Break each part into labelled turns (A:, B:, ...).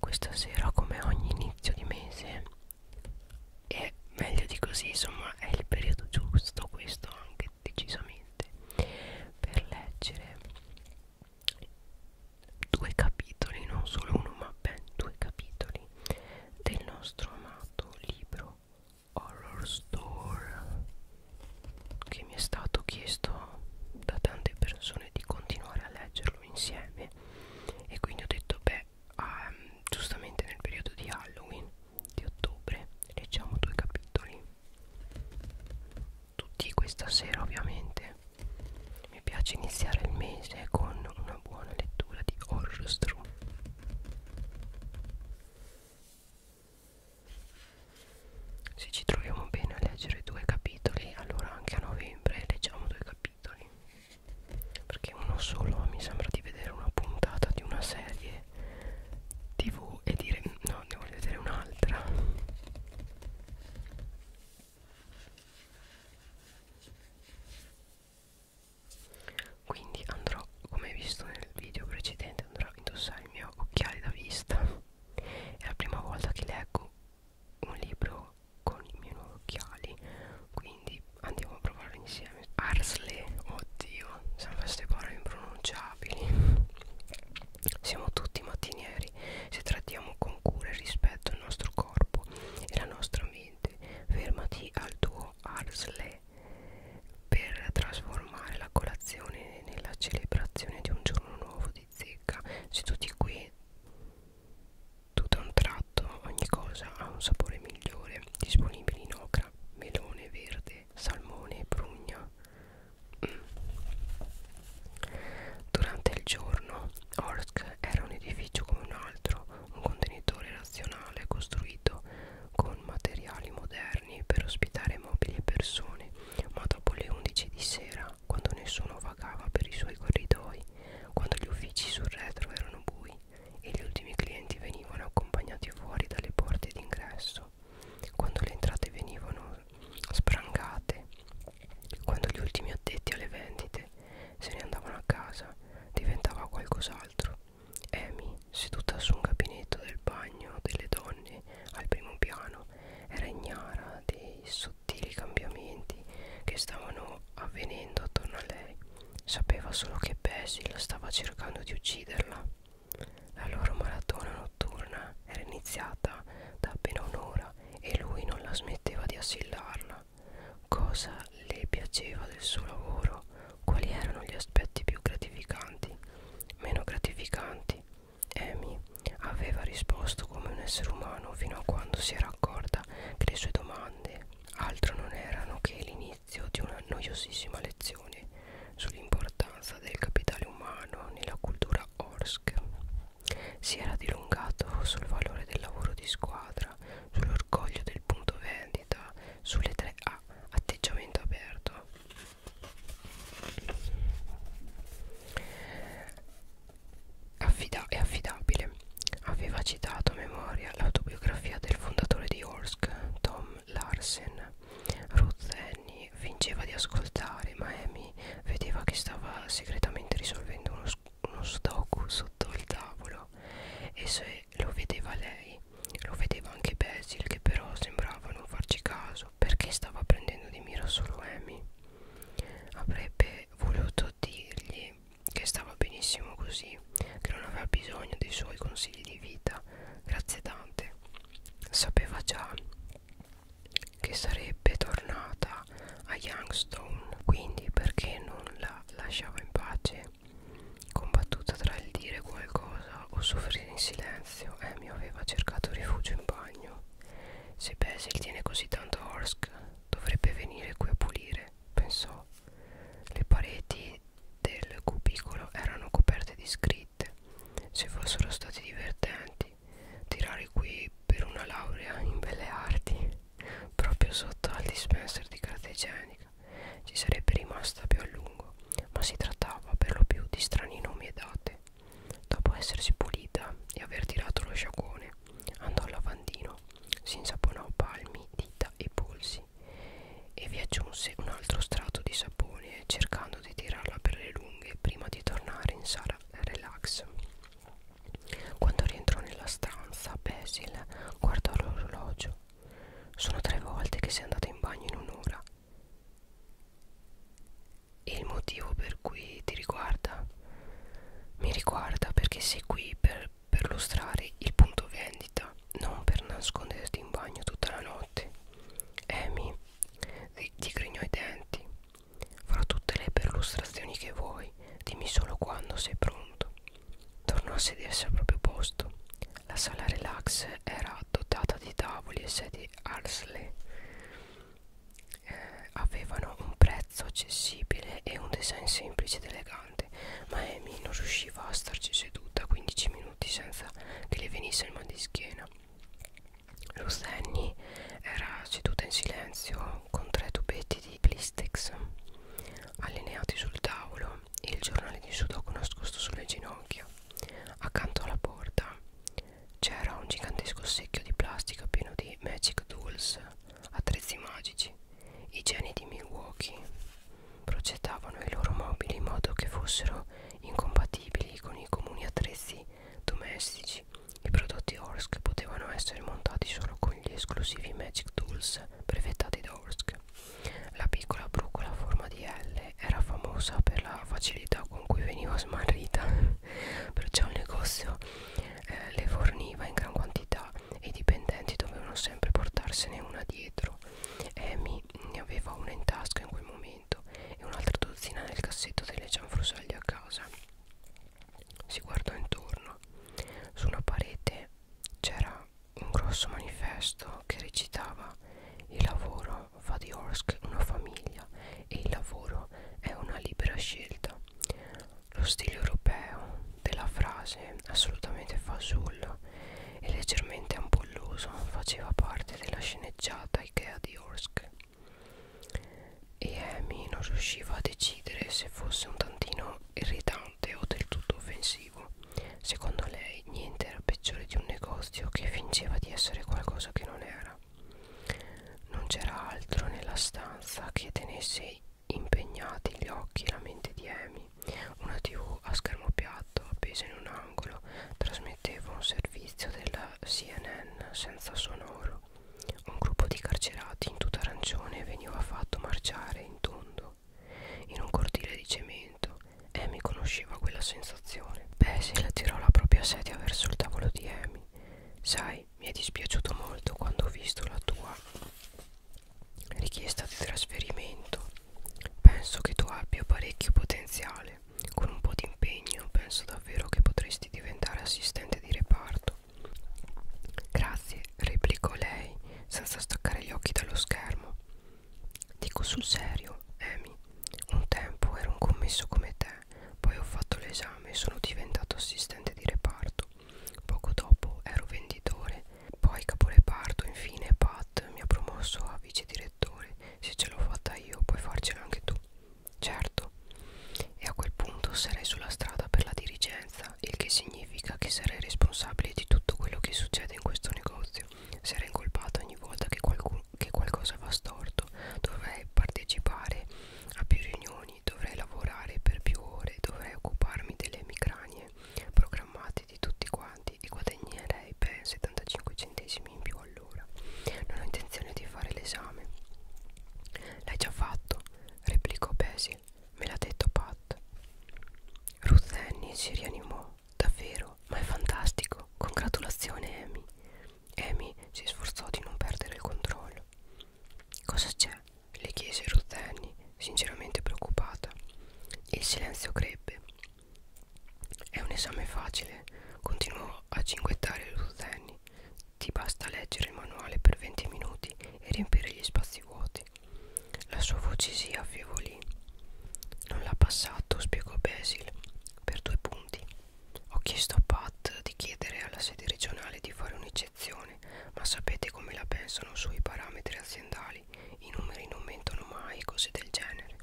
A: questa sera come ogni inizio di mese è meglio di così, insomma è il periodo giusto questo anche decisamente per leggere due capitoli, non solo uno ma ben due capitoli del nostro amato libro Horror Store che mi è stato chiesto da tante persone di continuare a leggerlo insieme e quindi ho detto beh um, giustamente nel periodo di Halloween di ottobre leggiamo due capitoli tutti questa sera ovviamente mi piace iniziare il mese con una buona lettura di horror Stru se ci troviamo bene a leggere due capitoli allora anche a novembre leggiamo due capitoli perché uno solo mi sembra di vedere una puntata di una serie tv e dire no ne voglio vedere un'altra quindi andrò come visto nel video precedente andrò a indossare i miei occhiali da vista è la prima volta che leggo un libro con i miei nuovi occhiali, quindi andiamo a provarlo insieme. Arsley, oddio, sempre queste parole impronunciabili. Siamo tutti mattinieri se trattiamo con cura e rispetto il nostro corpo e la nostra mente. Fermati al tuo Arsley per trasformare la colazione nella celebrazione di un giorno nuovo di zecca seduti qui tutto un tratto ogni cosa ha un sapore migliore disponibili in ocra melone verde salmone e prugna mm. durante il giorno Orsk era un edificio come un altro un contenitore razionale costruito con materiali moderni per ospitare mobili e persone ma dopo le 11 di sera quando nessuno vagava per i suoi corridoi, quando gli uffici sul retro erano bui e gli ultimi clienti venivano accompagnati fuori dalle porte d'ingresso, quando le entrate venivano sprangate, quando gli ultimi addetti alle vendite se ne andavano a casa, diventava qualcos'altro. Amy, seduta su un gabinetto del bagno delle donne al primo piano, era ignara dei i sottili cambiamenti che stavano avvenendo attorno a lei. Sapeva solo che Basil stava cercando di ucciderla. La loro maratona notturna era iniziata da appena un'ora e lui non la smetteva di assillarla. Cosa le piaceva del suo lavoro? Quali erano gli aspetti più gratificanti, meno gratificanti? Amy aveva risposto come un essere umano fino a quando si era accorta che le sue domande altro non erano che l'inizio di una noiosissima lezione sull'importanza del capitale umano nella cultura Orsk. Si era dilungato sul valore del lavoro di squadra, sull'orgoglio del punto vendita, sulle tre A atteggiamento aperto Affida è affidabile aveva citato a memoria l'autobiografia del fondatore di Orsk Tom Larsen Ruth Annie fingeva di ascoltare ma Amy vedeva che stava segretamente risolvendo uno, uno stock sotto il tavolo e se lo vedeva lei lo vedeva anche Basil che però sembrava non farci caso caso perché stava prendendo di mira solo Amy. Avrebbe voluto dirgli che stava benissimo così, che non aveva bisogno dei suoi consigli di vita. Grazie tante. Sapeva già che sarebbe tornata a Youngstone, quindi perché non la lasciava in pace? Combattuta tra il dire qualcosa o soffrire in silenzio, Amy aveva cercato rifugio in bagno. Se Basil tiene così tanto a Orsk, dovrebbe venire qui a pulire, pensò. Le pareti del cubicolo erano coperte di scritte. Se fossero stati divertenti, tirare qui per una laurea in belle arti, proprio sotto al dispenser di carta igienica, ci sarebbe rimasta più a lungo, ma si trattava per lo più di strani nomi e date. Dopo essersi pulita e aver tirato lo sciacquone, andò al lavandino, si insaponò palmi, dita e polsi e vi aggiunse un altro strato di sapone cercando di tirarla per le lunghe prima di tornare in sala relax. Quando rientrò nella stanza, Basil guardò l'orologio. Sono tre volte che sei andata in bagno in un'ora e il motivo per cui ti riguarda mi riguarda perché sei qui per, per lustrare il punto vendita, non per nasconderti in bagno tutta la notte. Amy digrignò i denti. Farò tutte le perlustrazioni che vuoi, dimmi solo quando sei pronto. Tornò a sedersi al proprio posto. La sala relax era dotata di tavoli e sedie Arsley eh, avevano un prezzo accessibile e un design semplice ed elegante, ma Amy non riusciva a starci seduta 15 minuti senza che le venisse il mal di schiena. Rosenny era seduta in silenzio con tre tubetti di plistex allineati sul tavolo e il giornale di sudoku nascosto sulle ginocchia accanto alla porta c'era un gigantesco secchio di plastica pieno di Magic Tools, attrezzi magici. I geni di Milwaukee progettavano i loro mobili in modo che fossero incompatibili con i comuni attrezzi domestici. I prodotti Orsk potevano essere montati solo con gli esclusivi Magic Tools brevettati da Orsk. La piccola brucola a forma di L era famosa per la facilità con cui veniva smarrita però c'è un negozio eh, le forniva in gran quantità e i dipendenti dovevano sempre portarsene una dietro Amy ne aveva una in tasca in quel momento e un'altra dozzina nel cassetto delle cianfrusaglie a casa si guardò intorno su una parete c'era un grosso manifesto che recitava il lavoro Vadiorsk una famiglia e il lavoro è una libera scelta. Lo stile europeo della frase, assolutamente fasullo e leggermente ampolloso, faceva parte della sceneggiata Ikea di Orsk. E Amy non riusciva a decidere se fosse un tantino irritante o del tutto offensivo. Secondo lei niente era peggiore di un negozio che fingeva di essere qualcosa che non era non c'era altro nella stanza che tenesse impegnati gli occhi e la mente di Amy una tv a schermo piatto appesa in un angolo trasmetteva un servizio della CNN senza sonoro un gruppo di carcerati in tutta arancione veniva fatto marciare in tondo in un cortile di cemento Amy conosceva quella sensazione Basil tirò la propria sedia verso il tavolo di Amy Sai, mi è dispiaciuto molto quando ho visto la tua richiesta di trasferimento. Penso che tu abbia parecchio potenziale. Con un po' di impegno penso davvero che potresti diventare assistente di reparto. Grazie, replicò lei senza staccare gli occhi dallo schermo. Dico sul serio, Amy, un tempo ero un commesso come te poi ho fatto l'esame e sono diventato assistente di reparto. Poco dopo ero venditore, poi caporeparto, infine Pat mi ha promosso a vice direttore. Se ce l'ho fatta io, puoi farcela anche tu. Certo. E a quel punto sarei sulla strada per la dirigenza, il che significa che sarei responsabile di tutto quello che succede in questo negozio. Sarei incolpato ogni volta che qualcuno che qualcosa va storto, dovrei partecipare a più riunioni, dovrei lavorare per più ore, dovrei occuparmi delle emicranie programmate di tutti quanti e guadagnerei ben 75 centesimi in più all'ora. Non ho intenzione di fare l'esame. L'hai già fatto, replicò Basil, me l'ha detto Pat. Ruth Annie si rianimò, davvero, ma è fantastico, congratulazione Amy. Amy si sforzò di non perdere il controllo. Cosa c'è? le chiese Ruth Annie, sinceramente preoccupata. Il silenzio crebbe. È un esame facile, continuò a cinguettare Ruth Annie. Ti basta leggere il manuale per 20 minuti e riempire gli spazi vuoti. La sua voce si affievolì. Non l'ha passato, spiegò Basil, per due punti. Ho chiesto a Pat di chiedere alla sede regionale di fare un'eccezione, ma sapete come la pensano sui parametri aziendali? I numeri non mentono mai, cose del genere.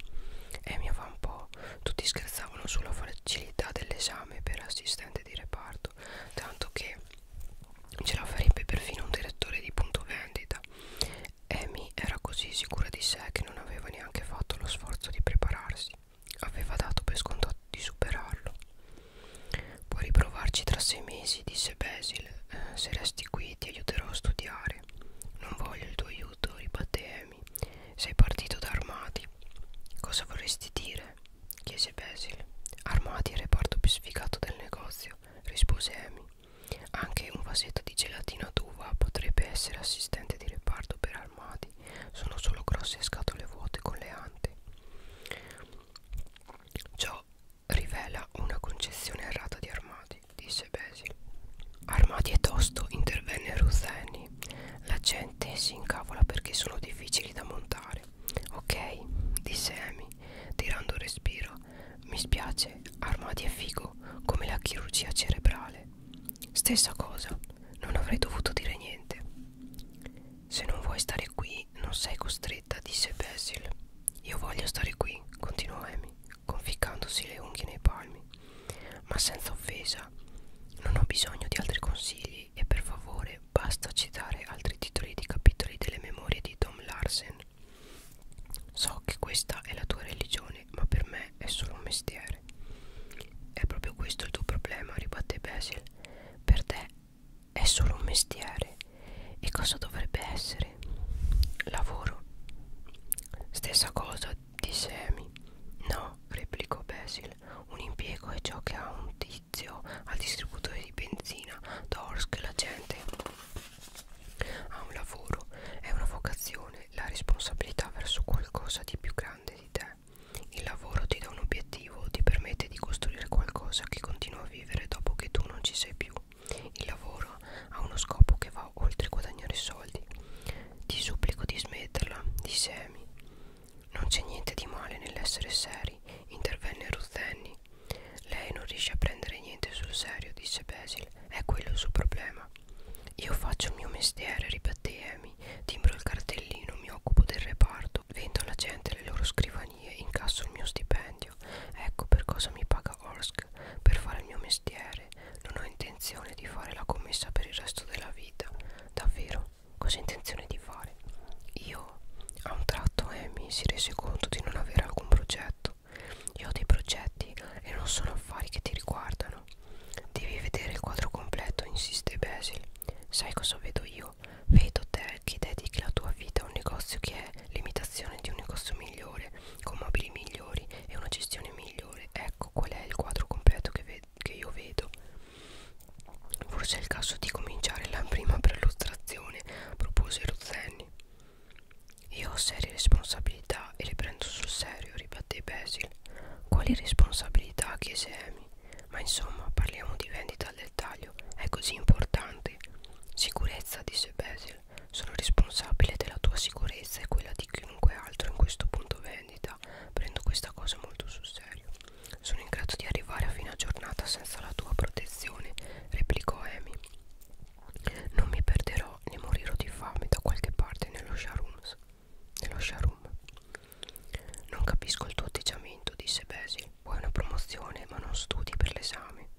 A: E mi fa un po'. Tutti scherzavano sulla facilità dell'esame per assistente di reparto, tanto che ce la farebbe perfino un direttore di punto vendita. Amy era così sicura di sé che non aveva neanche fatto lo sforzo di prepararsi aveva dato per scontato di superarlo. Puoi riprovarci tra sei mesi, disse Basil. Eh, se resti qui ti aiuterò a studiare. Non voglio il tuo aiuto, ribatté Amy. Sei partito da armati. Cosa vorresti dire? chiese Basil. Armati è il reparto più sfigato del negozio, rispose Amy. Anche un vasetto di gelatina d'uva potrebbe essere assistente di reparto per armati sono solo grosse scatole vuote con le ante. Ciò rivela una concezione errata di armati, disse Basil. Armati e tosto intervenne Ruth Annie. La gente si incavola perché sono difficili da montare. Ok, disse Amy, tirando un respiro. Mi spiace, armati è figo, come la chirurgia cerebrale. Stessa cosa, non avrei dovuto dire niente. Se non vuoi stare qui, non sei costretta, disse Basil. Io voglio stare qui, continuò Amy, conficcandosi le unghie nei palmi. Ma senza offesa, non ho bisogno di altri consigli e per favore basta citare altri titoli di capitoli delle memorie di Tom Larsen. So che questa è la tua religione, ma per me è solo un mestiere fare. È proprio questo il tuo problema, ribatte Basil. Per te è solo un mestiere. E cosa dovrebbe essere? Lavoro. Stessa cosa, disse Amy. No, replicò Basil. Un impiego è ciò che ha un tizio al distributore di benzina, Dorsk, la gente. Ha un lavoro, è una vocazione, la responsabilità verso qualcosa di più grande di te. Il lavoro ti dà un obiettivo, ti permette di costruire qualcosa che continua a vivere dopo che tu non ci sei più. Il lavoro ha uno scopo che va oltre guadagnare soldi. Ti supplico di smetterla, disse Amy. Non c'è niente di male nell'essere seri, intervenne Ruth Annie. Lei non riesce a prendere niente sul serio, disse Basil. È quello il suo problema. Io faccio il mio mestiere, ripeté Amy salami, timbro il cartellino, mi occupo del reparto, vendo alla gente le loro scrivanie, incasso il mio stipendio. Ecco per cosa mi paga Orsk, per fare il mio mestiere. Non ho intenzione di fare la commessa per il resto della vita. Davvero, cosa ho intenzione di fare? Io, a un tratto Amy eh, si rese conto di non avere alcun progetto. Io ho dei progetti e non sono affari che ti riguardano. Devi vedere il quadro completo, insiste Basil. Sai cosa vedo io? Vedo te che dedichi la tua vita a un negozio che è l'imitazione di un negozio migliore, con mobili migliori e una gestione migliore. Ecco qual è il quadro completo che, ve che io vedo. Forse è il caso di cominciare la prima prelustrazione, propose Rozenni. Io ho serie responsabilità e le prendo sul serio, ribatté Basil. Quali responsabilità? chiese fermi. Ma insomma, parliamo di vendita al dettaglio, è così importante. Sicurezza, disse Basil, sono responsabile della tua sicurezza e quella di chiunque altro in questo punto vendita. Prendo questa cosa molto sul serio. Sono in grado di arrivare a fine giornata senza la tua protezione, replicò Amy. Non mi perderò né morirò di fame da qualche parte nello Sharums nello showroom. Non capisco il tuo atteggiamento, disse Basil. Vuoi una promozione, ma non studi per l'esame.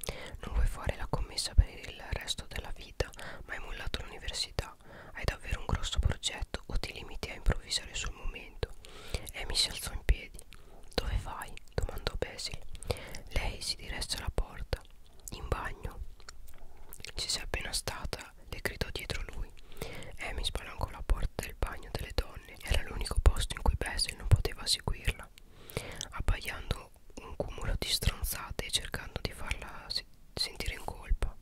A: Non vuoi fare la commessa per il resto della vita, ma hai mollato l'università. Hai davvero un grosso progetto o ti limiti a improvvisare sul momento? Amy si alzò in piedi. Dove vai? domandò Basil. Lei si diresse alla porta. In bagno. Ci sei appena stata? porta le gridò dietro lui Amy spalancò la porta del bagno delle donne era l'unico posto in cui Bessel non poteva seguirla abbaiando un cumulo di stronzate e cercando di farla se sentire in colpa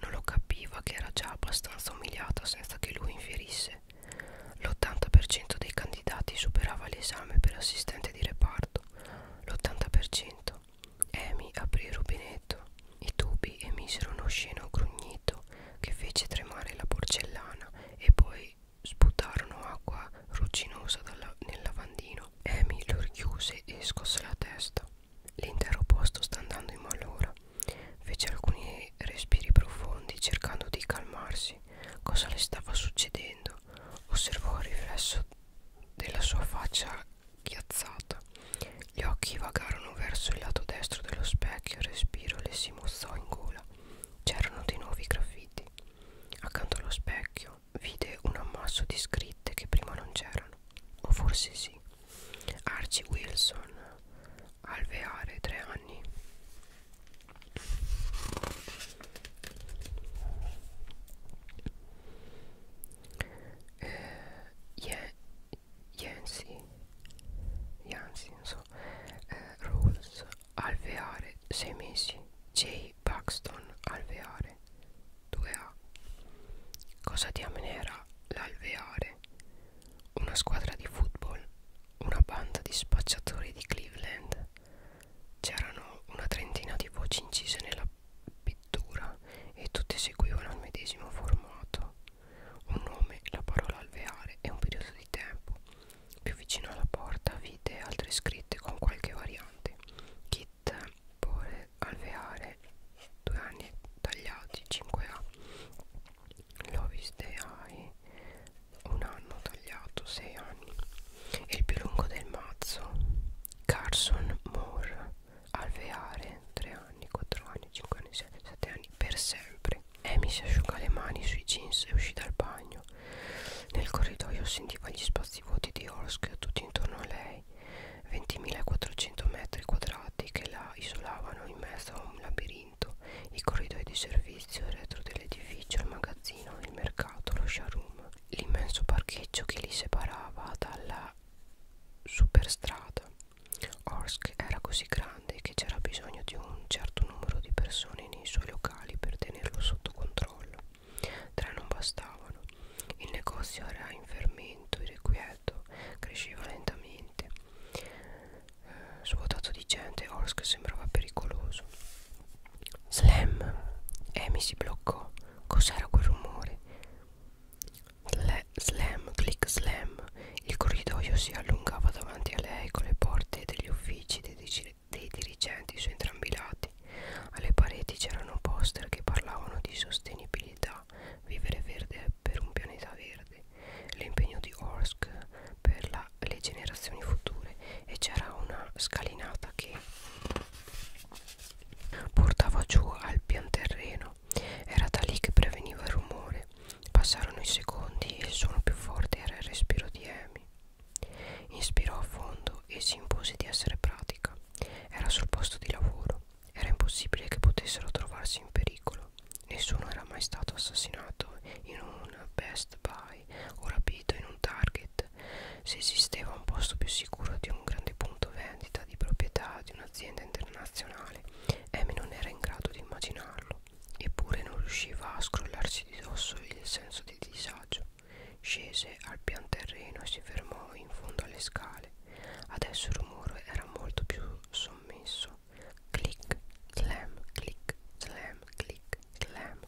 A: non lo capiva che era già abbastanza umiliata senza che lui infierisse l'80% dei candidati superava l'esame per assistente di reparto l'80% Amy aprì il rubinetto i tubi emisero uno sceno grugnito che fece tremare la porcellana e poi sputarono acqua rugginosa dalla, nel lavandino. Amy lo richiuse e scosse la testa. L'intero posto sta andando in malora. Fece alcuni respiri profondi cercando di calmarsi. Cosa le stava succedendo? Osservò il riflesso della sua faccia ghiazzata gli occhi vagarono verso il lato destro dello specchio respiro le si mozzò in gola c'erano di nuovi graffiti accanto allo specchio vide un ammasso di scritte che prima non c'erano o forse sì Archie Wilson alveare tre anni eh, yeah, Yancy Yancy non so eh, Rolls alveare 6 mesi J. Buxton alveare 2A cosa diamine era l'alveare? una squadra di football una banda di spacciatori di Cleveland c'erano una trentina di voci incise nella pittura e tutte seguivano il medesimo formato un nome, la parola alveare e un periodo di tempo. Più vicino alla porta vide altre scritte con qualche variante. Kit, pore, alveare, due anni tagliati, 5A. Lovis deai, un anno tagliato, 6 anni. E il più lungo del mazzo, Carson Moore, alveare 3 anni, 4 anni, 5 anni, 6, 7 anni per sempre. Amy si asciuga le mani sui jeans e uscì dal bagno. Nel corridoio sentiva gli spazi vuoti di Orsk tutti intorno a lei, 20.400 metri quadrati che la isolavano in mezzo a un labirinto, i corridoi di servizio, il retro dell'edificio, il magazzino, il mercato, lo showroom, l'immenso parcheggio che li separava dalla superstrada. Orsk era così grande che c'era bisogno di un certo numero di persone nei suoi locali per tenerlo sotto controllo. Tre non bastavano. Il negozio era in fermento, irrequieto, cresceva lentamente. Eh, svuotato di gente, Orsk sembrava pericoloso. Slam! Amy si bloccò. Cos'era quel rumore? Le slam, click slam. Il corridoio si allungava davanti a lei con le porte degli uffici dei, dei dirigenti su entrambi i lati. Alle pareti c'erano poster che parlavano di sostenibilità, vivere verde per un pianeta verde, l'impegno di Orsk per la, le generazioni future e c'era una scalinata che portava giù al pianterreno era da lì che preveniva il rumore. Passarono i secondi e il suono più forte era il respiro di Amy. Inspirò a fondo e si impose di essere pratica. Era sul posto di lavoro. Era impossibile che potessero trovarsi in pericolo. Nessuno era mai stato assassinato in un Best Buy o rapito in un Target. Se esisteva un posto più sicuro di un grande punto vendita di proprietà di un'azienda internazionale, Amy non era in grado di immaginarlo, eppure non riusciva a scrollarsi di dosso il senso di disagio. Scese al pian terreno e si fermò in fondo alle scale. Adesso il rumore era molto più sommesso. Clic, clam, clic, clam, clic, clam.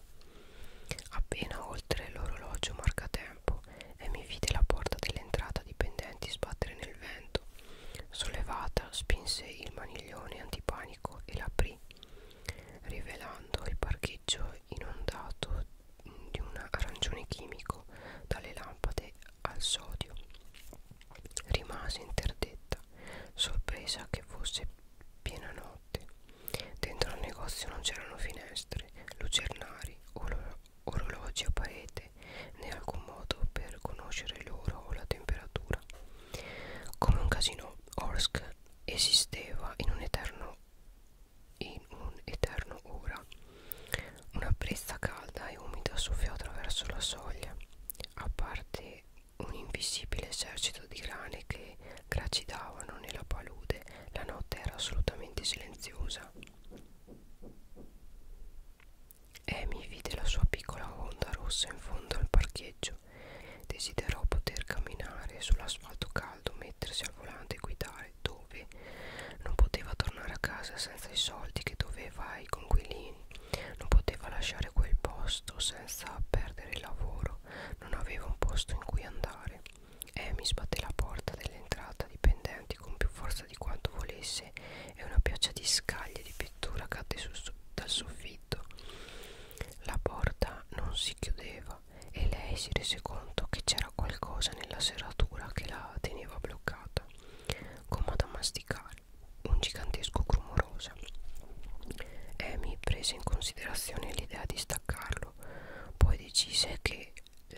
A: Appena oltre l'orologio marcatempo, Amy vide la porta dell'entrata dipendenti sbattere nel vento Sollevata, spinse il maniglione antipanico e l'aprì, rivelando il parcheggio inondato di un arancione chimico dalle lampade al sodio. Rimase interdetta, sorpresa che fosse piena notte. Dentro al negozio non c'erano finestre, lucernari o orologi o parete né alcun modo per conoscere l'ora o la temperatura. Come un casino, Orsk esisteva in un eterno in un eterno ora. Una brezza calda e umida soffiò attraverso la soglia, a parte un invisibile esercito di grane che gracidavano nella palude. La notte era assolutamente silenziosa. Amy vide la sua piccola Honda rossa in fondo al parcheggio. Desiderò poter camminare sull'asfalto caldo, mettersi al volante e guidare dove non poteva tornare a casa senza i soldi che doveva ai conquilini. Non poteva lasciare quel posto senza perdere il lavoro. Non aveva un posto in cui andare. Amy sbatté la porta dell'entrata dipendenti con più forza forza di quanto volesse e una pioggia di scaglie di pittura cadde sul, dal soffitto. La porta non si chiudeva e lei si rese conto che c'era qualcosa nella serratura che la teneva bloccata, come da masticare, un gigantesco rumorosa. Amy prese in considerazione l'idea di staccarlo, poi decise che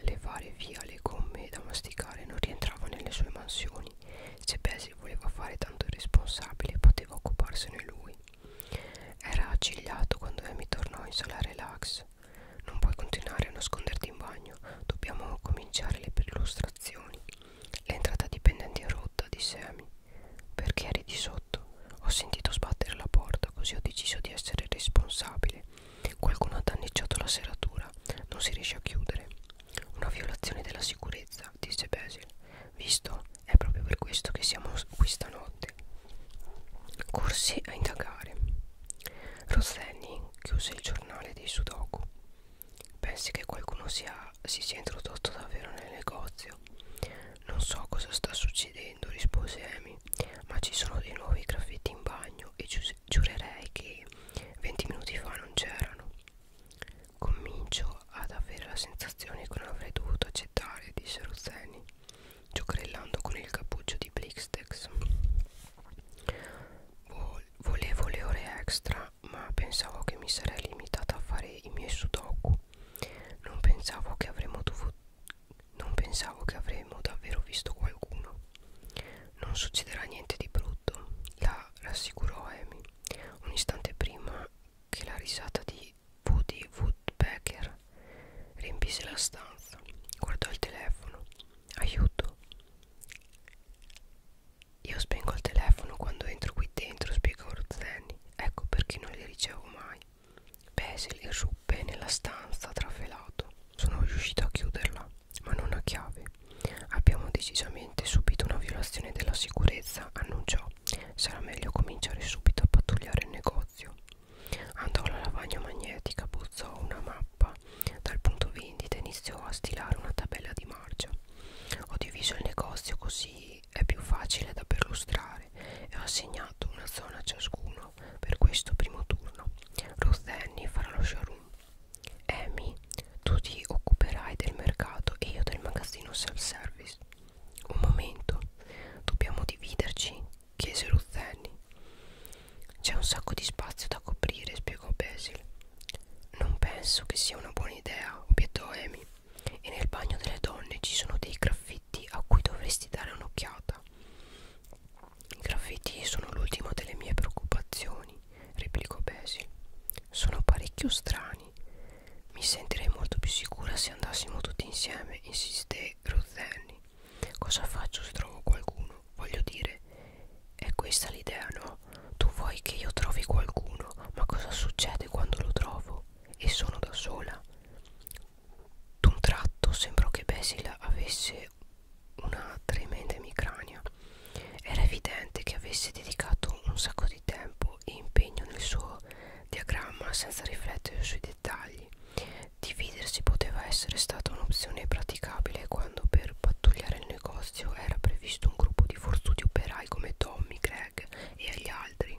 A: levare via le gomme da masticare non rientrava nelle sue mansioni mani se Basil voleva fare tanto irresponsabile poteva occuparsene lui era accigliato quando Amy tornò in sala relax non puoi continuare a nasconderti in bagno dobbiamo cominciare le perlustrazioni l'entrata dipendenti è rotta disse Amy perché eri di sotto ho sentito sbattere la porta così ho deciso di essere responsabile qualcuno ha danneggiato la serratura non si riesce a chiudere una violazione della sicurezza, disse Basil. Visto, è proprio per questo che siamo qui stanotte. Corsi a indagare. Rosseni chiuse il giornale dei Sudoku. Pensi che qualcuno sia, si sia introdotto davvero nel negozio? Non so cosa sta succedendo, rispose Amy, ma ci sono dei nuovi graffiti in bagno e, giurerei che 20 minuti fa non c'erano. Comincio ad avere la sensazione che non avrei dovuto accettare, disse Rozzeni, giocherellando con il cappuccio di Blixtex. Volevo le ore extra, ma pensavo che mi sarei limitata a fare i miei sudoku. Non pensavo che avremmo dovuto non pensavo che avremmo davvero visto qualcuno. Non succederà niente di brutto, la rassicurò Amy un istante prima che la risata di Woody Woodpecker riempisse la stanza. Guardò il telefono. Aiuto. Io spengo il telefono quando entro qui dentro, spiegò Rozzeni. Ecco perché non li ricevo mai. Basil irruppe nella stanza trafelato. Sono riuscito a chiuderla ma non a chiave. Abbiamo decisamente subito una violazione della sicurezza, annunciò. Sarà meglio cominciare subito a pattugliare il negozio. Andò alla lavagna magnetica, buzzò una mappa dal punto vendita e iniziò a stilare una tabella di marcia. Ho diviso il negozio così è più facile da perlustrare e ho assegnato una zona a ciascuno per questo primo turno. Ruth Annie farà lo showroom, Amy, tu ti occuperai del mercato e io del magazzino self-service. Un momento, dobbiamo dividerci, chiese Ruzzenni. C'è un sacco di spazio da coprire, spiegò Basil. Non penso che sia una buona idea, obiettò Amy. E nel bagno delle donne ci sono dei graffiti a cui dovresti dare un'occhiata. I graffiti sono l'ultima delle mie preoccupazioni replicò Basil. Sono parecchio strani. Mi sentirei molto più sicura se andassimo tutti insieme, insisté Ruthenny. Cosa faccio se trovo qualcuno? Voglio dire, è questa l'idea, no? Tu vuoi che io trovi qualcuno, ma cosa succede quando lo trovo? E sono da sola? D'un tratto sembrò che Basil avesse una tremenda emicrania. Era evidente che avesse dedicato un sacco di tempo e impegno nel suo diagramma senza riflettere sui dettagli. Dividersi poteva essere stata un'opzione praticabile quando per pattugliare il negozio era previsto un gruppo di forzuti operai come Tommy, Greg e gli altri.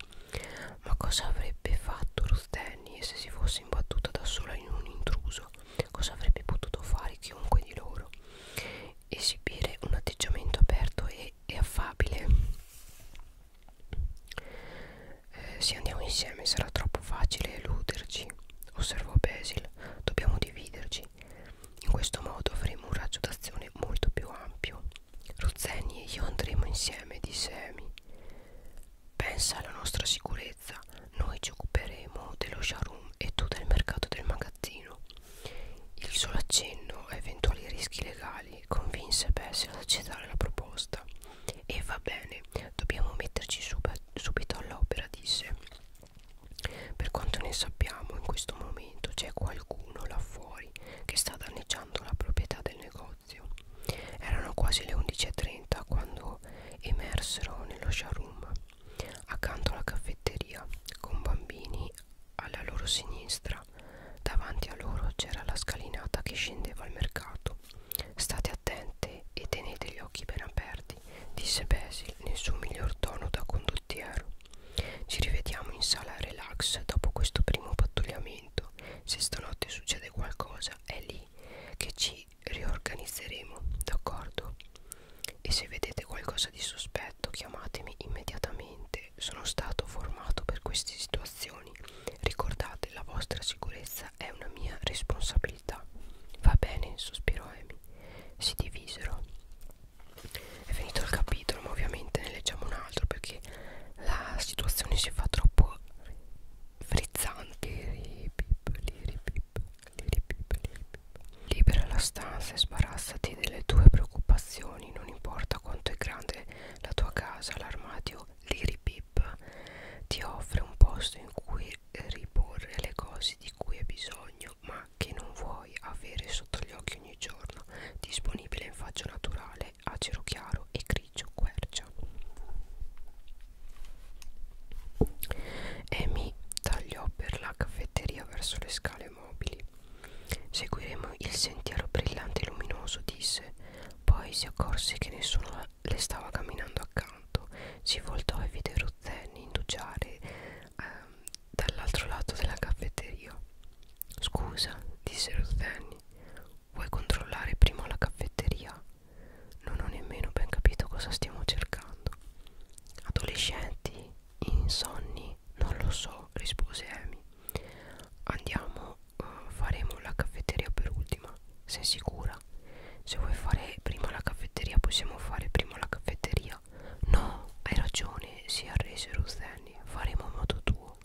A: Ma cosa avrebbe fatto Ruth Denny se si fosse imbattuta da sola in un intruso? Cosa avrebbe potuto fare chiunque di loro? esibire un atteggiamento aperto e, e affabile eh, se andiamo insieme sarà troppo facile eluderci osservò Basil dobbiamo dividerci in questo modo avremo un raggio d'azione molto più ampio Rozzeni e io andremo insieme disse Amy pensa alla nostra sicurezza allora, noi ci occuperemo dello showroom e tu del mercato del magazzino. Il solo accenno a eventuali rischi legali convinse Bessie ad accettare la proposta. E va bene, dobbiamo metterci subito all'opera, disse. Per quanto ne sappiamo, in questo momento c'è qualcuno là fuori che sta danneggiando la proprietà del negozio. Erano quasi le 11.30 quando emersero nello showroom accanto alla caffetteria con bambini alla loro sinistra davanti a loro c'era la scalinata che scendeva al mercato state attente e tenete gli occhi ben aperti disse Basil nel suo miglior tono da condottiero ci rivediamo in sala relax dopo questo primo pattugliamento se stanotte succede qualcosa è lì che ci riorganizzeremo d'accordo e se vedete qualcosa di sospetto chiamatemi immediatamente sono stato formato per queste situazioni ricordate la vostra sicurezza è una mia responsabilità va bene sospirò Amy si divisero è finito il capitolo ma ovviamente ne leggiamo un altro perché la situazione si fa troppo frizzante Libera la stanza e sbarazzati delle tue preoccupazioni, non importa quanto è grande la tua casa, l'armadio Liripip ti offre un posto in cui riporre le cose di cui hai bisogno, ma che non vuoi avere sotto gli occhi ogni giorno, disponibile in faccia naturale, acero chiaro e grigio quercia e mi tagliò per la caffetteria verso le scale mobili. Seguiremo il sentiero brillante e luminoso, disse. Poi si accorse che nessuno le stava camminando accanto. Si voltò e vide Ruzzeni indugiare ehm, dall'altro lato della caffetteria. Scusa, disse Ruzzeni, vuoi controllare prima la caffetteria? Non ho nemmeno ben capito cosa stiamo cercando. Adolescenti, insonni, non lo so, rispose Amy. Andiamo, uh, faremo la caffetteria per ultima. Sei sicura? Se vuoi fare prima la caffetteria, possiamo fare prima la caffetteria. No, hai ragione, si arrese Ruzzenni. Faremo a modo tuo.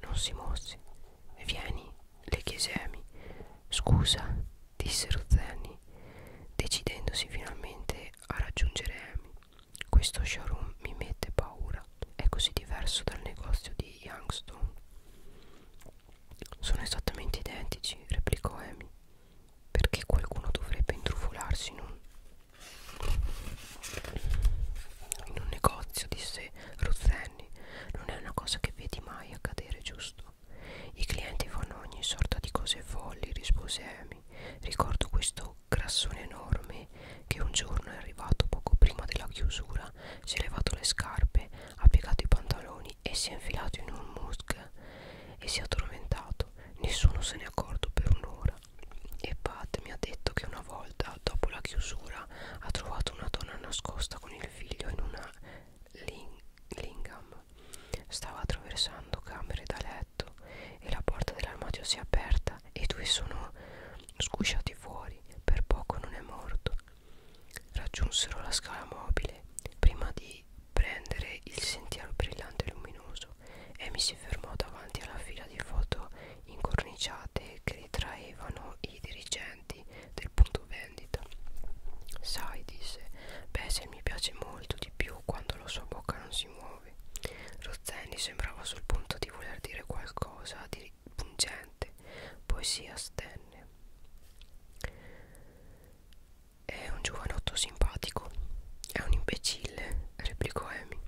A: Non si mosse. Vieni, le chiese Amy. Scusa, disse Ruzzenni, decidendosi finalmente riuscire a raggiungere Amy. Questo showroom mi mette paura, è così diverso dal negozio di Youngstone. Sono esattamente identici, replicò Amy. Perché qualcuno dovrebbe intrufolarsi in un, in un negozio, disse Ruzzenni. Non è una cosa che vedi mai accadere, giusto? Ecco, I clienti fanno ogni sorta di cose folli, rispose Amy. Ricordo questo grassone enorme che un giorno è arrivato poco prima della chiusura, si è levato le scarpe, ha piegato i pantaloni e si è infilato in un musk e si è addormentato. Nessuno se ne è accorto per un'ora. E Pat mi ha detto che una volta, dopo la chiusura, ha trovato una donna nascosta con il figlio in una ling Lingham Stava attraversando camere da letto e la porta dell'armadio si è aperta e i due sono sgusciati fuori. Per poco non è morto. Raggiunsero la scala mobile prima di prendere il sentiero brillante e luminoso. Amy si fermò davanti alla fila di foto incorniciate che ritraevano i dirigenti del punto vendita. Sai, disse, beh, se mi piace molto di più quando la sua bocca non si muove. Rozzeni sembrava sul punto di voler dire qualcosa di pungente, poi si astenne. È un giovanotto simpatico, è un imbecille, replicò Amy.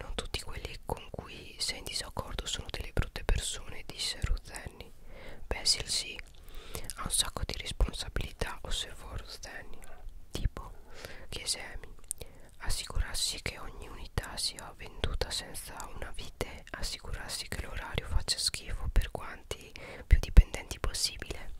A: Non tutti quelli con cui sei in disaccordo sono delle brutte persone, disse Rozzeni. Basil sì, ha un sacco di responsabilità osservò Rostenio tipo chiese Amy assicurarsi che ogni unità sia venduta senza una vite assicurarsi che l'orario faccia schifo per quanti più dipendenti possibile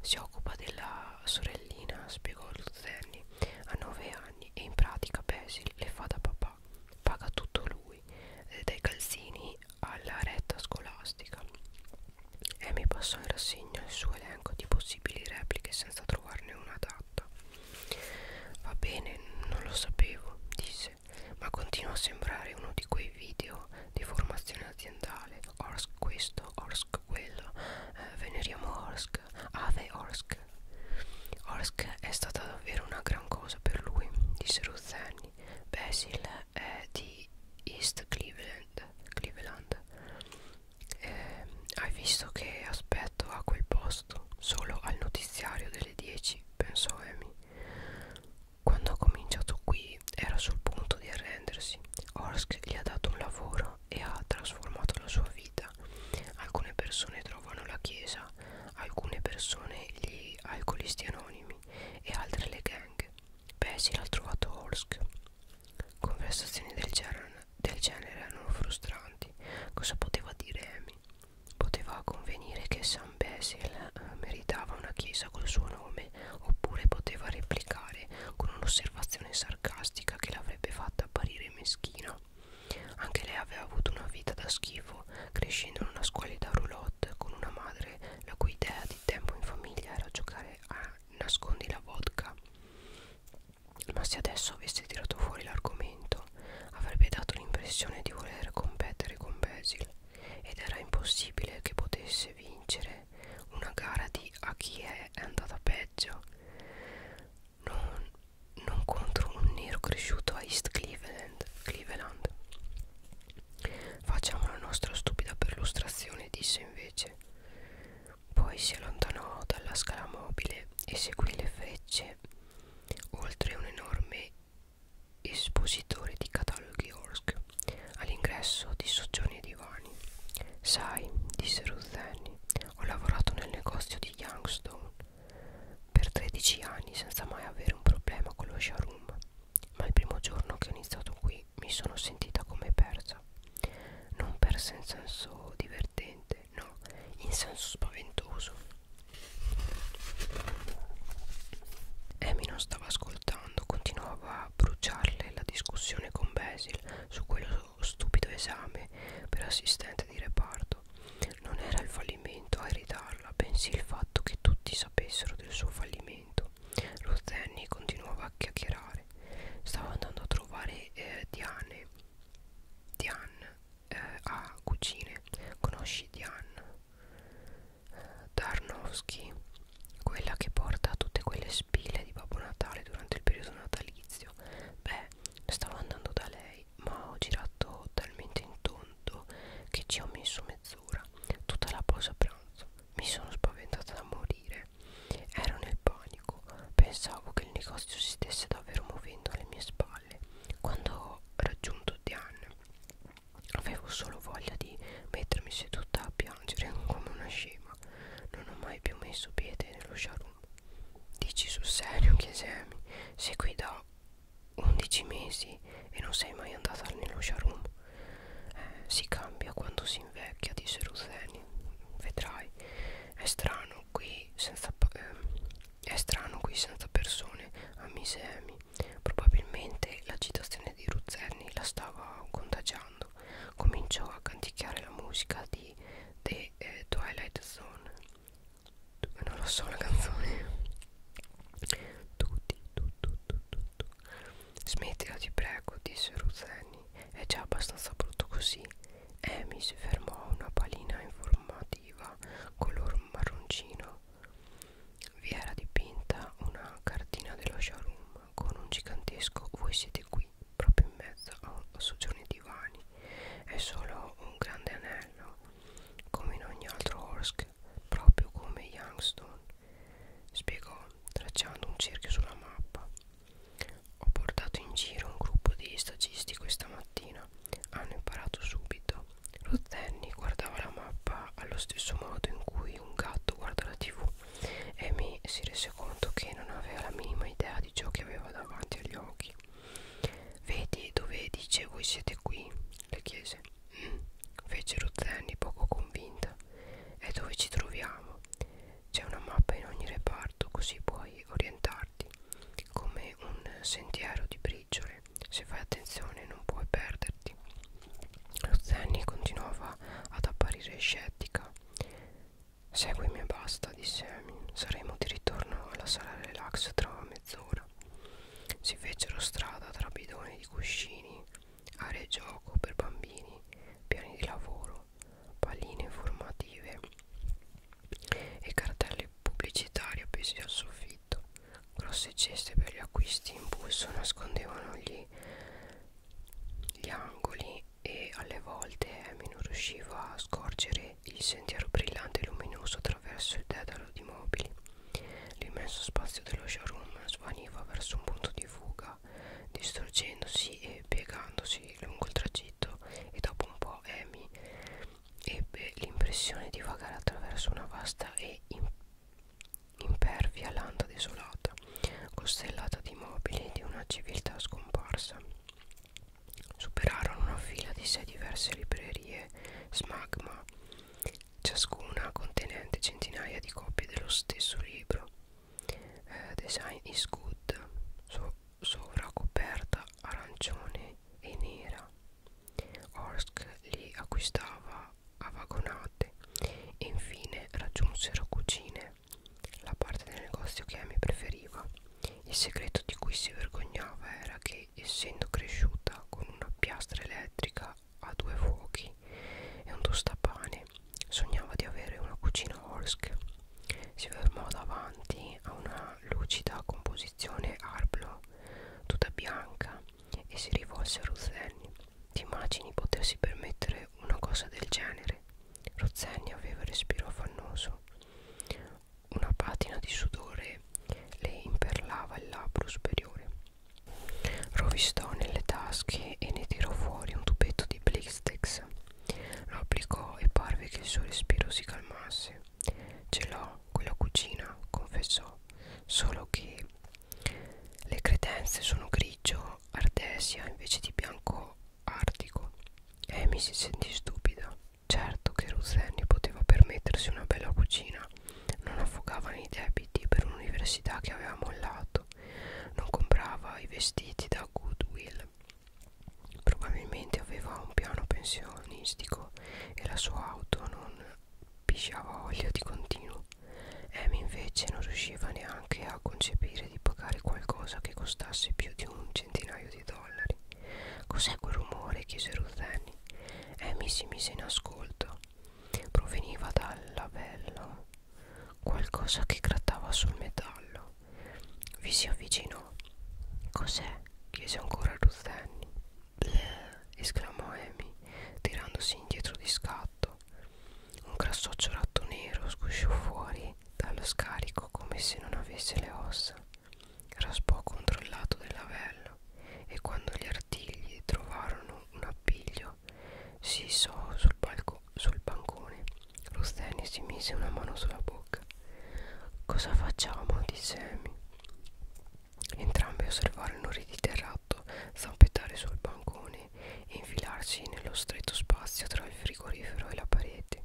A: si occupa della sorellina spiegò Rostenio a 9 anni e in pratica Basil le fa da papà paga tutto lui eh, dai calzini alla retta scolastica e mi passò in rassegna il suo elenco di possibili repliche senza trovarne una adatta. Va bene, non lo sapevo, disse, ma continua a sembrare uno di quei video di formazione aziendale. Orsk questo, Orsk quello, eh, veneriamo Orsk, Ave Orsk. Orsk è stata davvero una gran cosa per lui, disse Ruzzani. Basil eh, di East Cleveland, Cleveland. Eh, hai visto che aspetto a quel posto solo al notiziario delle 10 pensò Amy quando ha cominciato qui era sul punto di arrendersi Orsk gli ha dato un lavoro e ha trasformato la sua vita alcune persone trovano la chiesa alcune persone gli alcolisti anonimi e altre le gang Bessie l'ha trovato Orsk Conversazioni del genere, del genere erano frustranti. Cosa poteva dire Amy? Poteva convenire che San Basil eh, meritava una chiesa col suo nome, oppure poteva replicare con un'osservazione sarcastica che l'avrebbe fatta apparire meschina. Anche lei aveva avuto una vita da schifo, crescendo in una scuola da roulotte con una madre la cui idea di tempo in famiglia era giocare a nascondi la vodka ma se adesso avesse tirato fuori l'argomento avrebbe dato l'impressione di voler competere con Basil ed era impossibile che potesse vincere una gara di a chi è andata peggio non, non contro un nero cresciuto a East Cleveland, Cleveland. Facciamo la nostra stupida perlustrazione, disse invece fece. Poi si allontanò dalla scala mobile e seguì le frecce oltre un enorme espositore di cataloghi Orsk all'ingresso di soggiorni e divani. Sai, disse Ruzzeni, ho lavorato nel negozio di Youngstone per 13 anni senza mai avere un problema con lo showroom, ma il primo giorno che ho iniziato qui mi sono sentita come persa. Non persa in senso divertente, no, in senso spaventoso. Amy non stava ascoltando, continuava a bruciarle la discussione con Basil su quello stupido esame per assistente di reparto. Non era il fallimento a irritarla, bensì il fatto che tutti sapessero del suo fallimento letto. Rosenny continuava a chiacchierare. Stavo andando a trovare eh, Diane. Diane eh, a cucine. Conosci Diane? Darnowski, quella che porta tutte quelle spille di Babbo Natale durante il periodo natalizio. Beh, stavo andando da lei, ma ho girato talmente in tondo che ci ho messo mezz'ora, tutta la pausa pranzo. Mi sono spaventata da morire. Ero nel panico. Pensavo che il negozio si stesse davvero muovendo alle mie spalle. Quando ho raggiunto Diane, avevo solo voglia di mettermi seduta a piangere come una scema. Non ho mai più messo piede nello showroom. Dici sul serio, chiese Amy. Sei qui da 11 mesi e non sei mai andata nello showroom eh, si cambia quando si invecchia disse Rutheni vedrai è strano qui senza eh, è strano qui senza persone ammise Amy probabilmente l'agitazione di Ruzzerni la stava contagiando cominciò a canticchiare la musica di The eh, Twilight Zone non lo so la canzone tutti tu, tu, tu, tu, tu, Smettila ti prego, disse Ruzzeni, è già abbastanza brutto così. Amy si fermò a una palina informativa color marroncino. Vi era dipinta una cartina dello showroom con un gigantesco voi siete qui, proprio in mezzo a soggiorni divani. È solo un grande anello, come in ogni altro Orsk, proprio come Youngstone, spiegò tracciando un cerchio sulla mappa. Ho portato in giro un gruppo di stagisti questa mattina. Hanno imparato subito. Rozenni guardava la mappa allo stesso modo in cui un gatto guarda la tv e mi si rese conto che non aveva la minima idea di ciò che aveva davanti agli occhi. Vedi dove dice voi siete qui? le chiese. Mm, fece Rozenni poco convinta è dove ci troviamo. C'è una mappa in ogni reparto così puoi orientarti, come un sentiero di briciole. Se fai attenzione non puoi perderti. Lo Zenny continuava ad apparire scettica. Seguimi e basta, disse Emin. Saremo di ritorno alla sala relax tra mezz'ora. Si fecero strada tra bidoni di cuscini aree gioco per bambini, piani di lavoro, palline informative e cartelle pubblicitarie appesi al soffitto. Grosse ceste per gli acquisti in pulso nascondevano gli, gli angoli e alle volte Amy non riusciva a scorgere il sentiero brillante e luminoso attraverso il dedalo di mobili. L'immenso spazio dello showroom svaniva verso un punto di fuga strada distruggendosi e piegandosi lungo il tragitto e dopo un po' Amy ebbe l'impressione di vagare attraverso una vasta e impervia landa desolata costellata di mobili di una civiltà scomparsa superarono una fila di sei diverse librerie smagma ciascuna contenente centinaia di copie dello stesso libro eh, design is good so, sovracoperta arancione e nera Orsk li acquistava a vagonate e infine raggiunsero cucine la parte del negozio che Amy preferiva il segreto di cui si vergognava era che essendo cresciuta con una piastra elettrica a due fuochi e un tostapane. Sognava di avere una cucina Holsk. Si fermò davanti a una lucida composizione Arblo, tutta bianca, e si rivolse a Ruzzeni. Ti immagini potersi permettere una cosa del genere? Ruzzeni aveva il respiro affannoso. Una patina di sudore le imperlava il labbro superiore. Rovistò nelle tasche e ne tirò fuori un tubetto di Blistex. Lo applicò e parve che il suo respiro si calmasse. Ce l'ho quella cucina, confessò, solo che le credenze sono grigio ardesia invece di bianco artico. Amy eh, si sentì stupida. Certo che Ruth Annie poteva permettersi una bella cucina, non affogava nei debiti per un'università che aveva mollato. Non comprava i vestiti da Goodwill. Probabilmente aveva un piano pensionistico e la sua auto non pisciava olio di continuo. Amy invece non riusciva neanche a concepire di pagare qualcosa che costasse più di un centinaio di dollari. Cos'è quel rumore? chiese Ruth Annie. Amy si mise in ascolto. Proveniva dalla bella Qualcosa che grattava sul metallo. Vi si avvicinò. Cos'è? chiese ancora Ruzzanni. esclamò Amy, tirandosi indietro di scatto. Un grassoccio ratto nero sgusciò fuori dallo scarico come se non avesse le ossa. Raspò contro il lato del lavello e quando gli artigli trovarono un appiglio si so sul, palco, sul bancone. Rosteni si mise una mano sulla bocca. Cosa facciamo? disse Amy. Entrambi osservarono riditerrato zampettare sul bancone e infilarsi nello stretto spazio tra il frigorifero e la parete.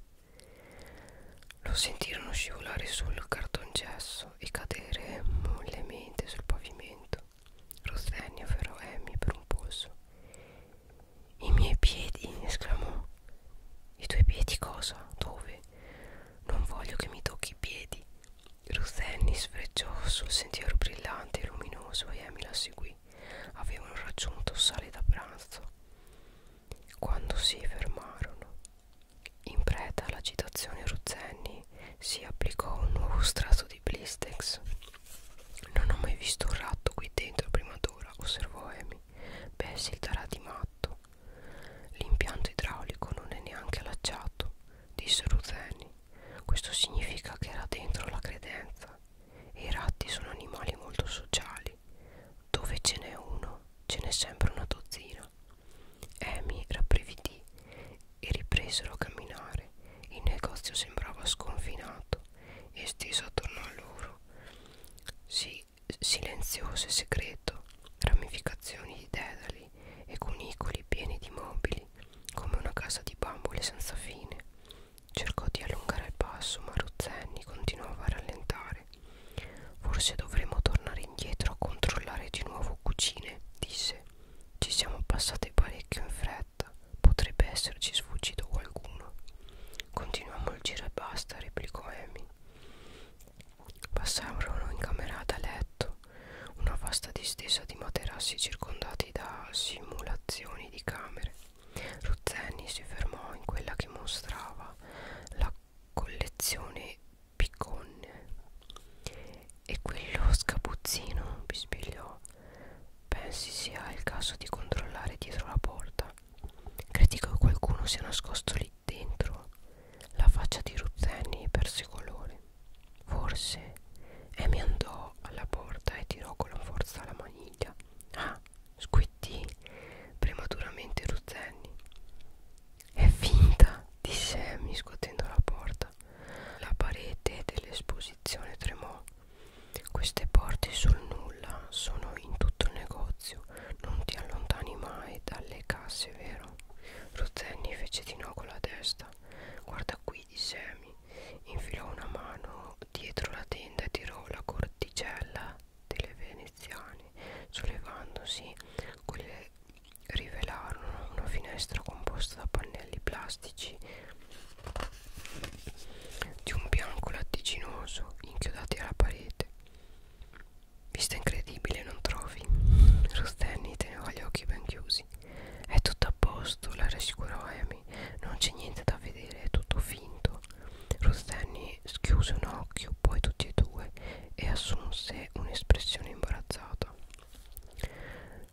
A: Lo sentirono scivolare sul cartongesso e cadere mollemente sul pavimento. Rossegna ferrò Amy eh, per un polso. I miei piedi, esclamò. I tuoi piedi cosa? Dove? Non voglio che mi tocchi i piedi. Ruthenny sfrecciò sul sentiero brillante e luminoso e Amy la seguì. Avevano raggiunto sale da pranzo. Quando si fermarono, in preda all'agitazione Ruzzenni si applicò un nuovo strato di blistex non ho mai visto un ratto qui dentro prima d'ora, osservò Amy. Bessie il darà di matto. L'impianto idraulico non è neanche allacciato, disse Rutheni. Questo significa che era dentro la credenza. E i ratti sono animali molto sociali. Dove ce n'è uno, ce n'è sempre una dozzina. Amy rabbrividì e ripresero a camminare fare il negozio sembrava sconfinato esteso attorno a loro sì, silenzioso e segreto ramificazioni di dedali e cunicoli pieni di mobili come una casa di bambole senza fine cercò di allungare il passo ma Rozzenni continuava a rallentare forse dovremo tornare indietro a controllare di nuovo cucine disse ci siamo passate parecchio in fretta fretta potrebbe esserci sfuggito qualcuno continuammo il giro e basta replicò Amy passarono in camerata a letto una vasta distesa di materassi circondati da simulazioni di camere Ruzzeni si fermò in quella che mostrava la collezione picconne e quello scapuzzino, bisbigliò Pensi sia il caso di controllare dietro la porta. Credi che qualcuno sia nascosto lì dentro? La faccia di Ruzzeni perse colore. Forse. E mi andò alla porta e tirò con la forza la maniglia. Ah, squittì prematuramente Ruzzeni. È finta, disse Amy scuotendo la porta. La parete dell'esposizione tremò. Queste porte sul nulla sono in tutto il negozio, non ti allontani mai dalle casse, vero? Ruzzeni fece di no con la testa. Guarda qui, disse Amy. Infilò una mano dietro la tenda e tirò la corticella delle veneziane, sollevandosi quelle rivelarono una finestra composta da pannelli plastici di un bianco latticinoso inchiodati alla parete. Vista incredibile, non trovi? Rostenni teneva gli occhi ben chiusi. È tutto a posto, la rassicurò Amy. Non c'è niente da vedere, è tutto finto. Rostenni schiuse un occhio, poi tutti e due, e assunse un'espressione imbarazzata.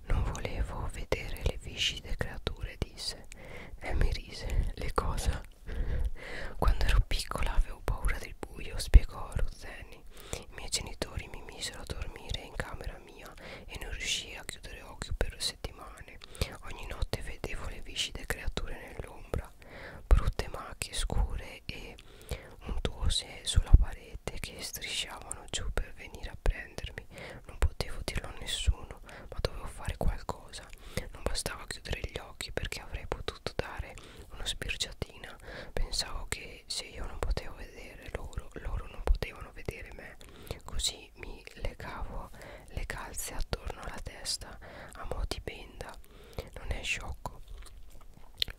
A: Non volevo vedere le viscide creature, disse. E mi rise. Le cosa? Quando ero piccola avevo paura del buio, spiegò Rozzeni. I miei genitori mi misero a dormire in camera mia e non riuscii a chiudere occhio per settimane. Ogni notte vedevo le viscide creature nell'ombra, brutte macchie scure e untuose sulla parete che strisciavano giù per venire a prendere difendermi non potevo dirlo a nessuno ma dovevo fare qualcosa non bastava chiudere gli occhi perché avrei potuto dare una sbirciatina pensavo che se io non potevo vedere loro loro non potevano vedere me così mi legavo le calze attorno alla testa a mo' di benda non è sciocco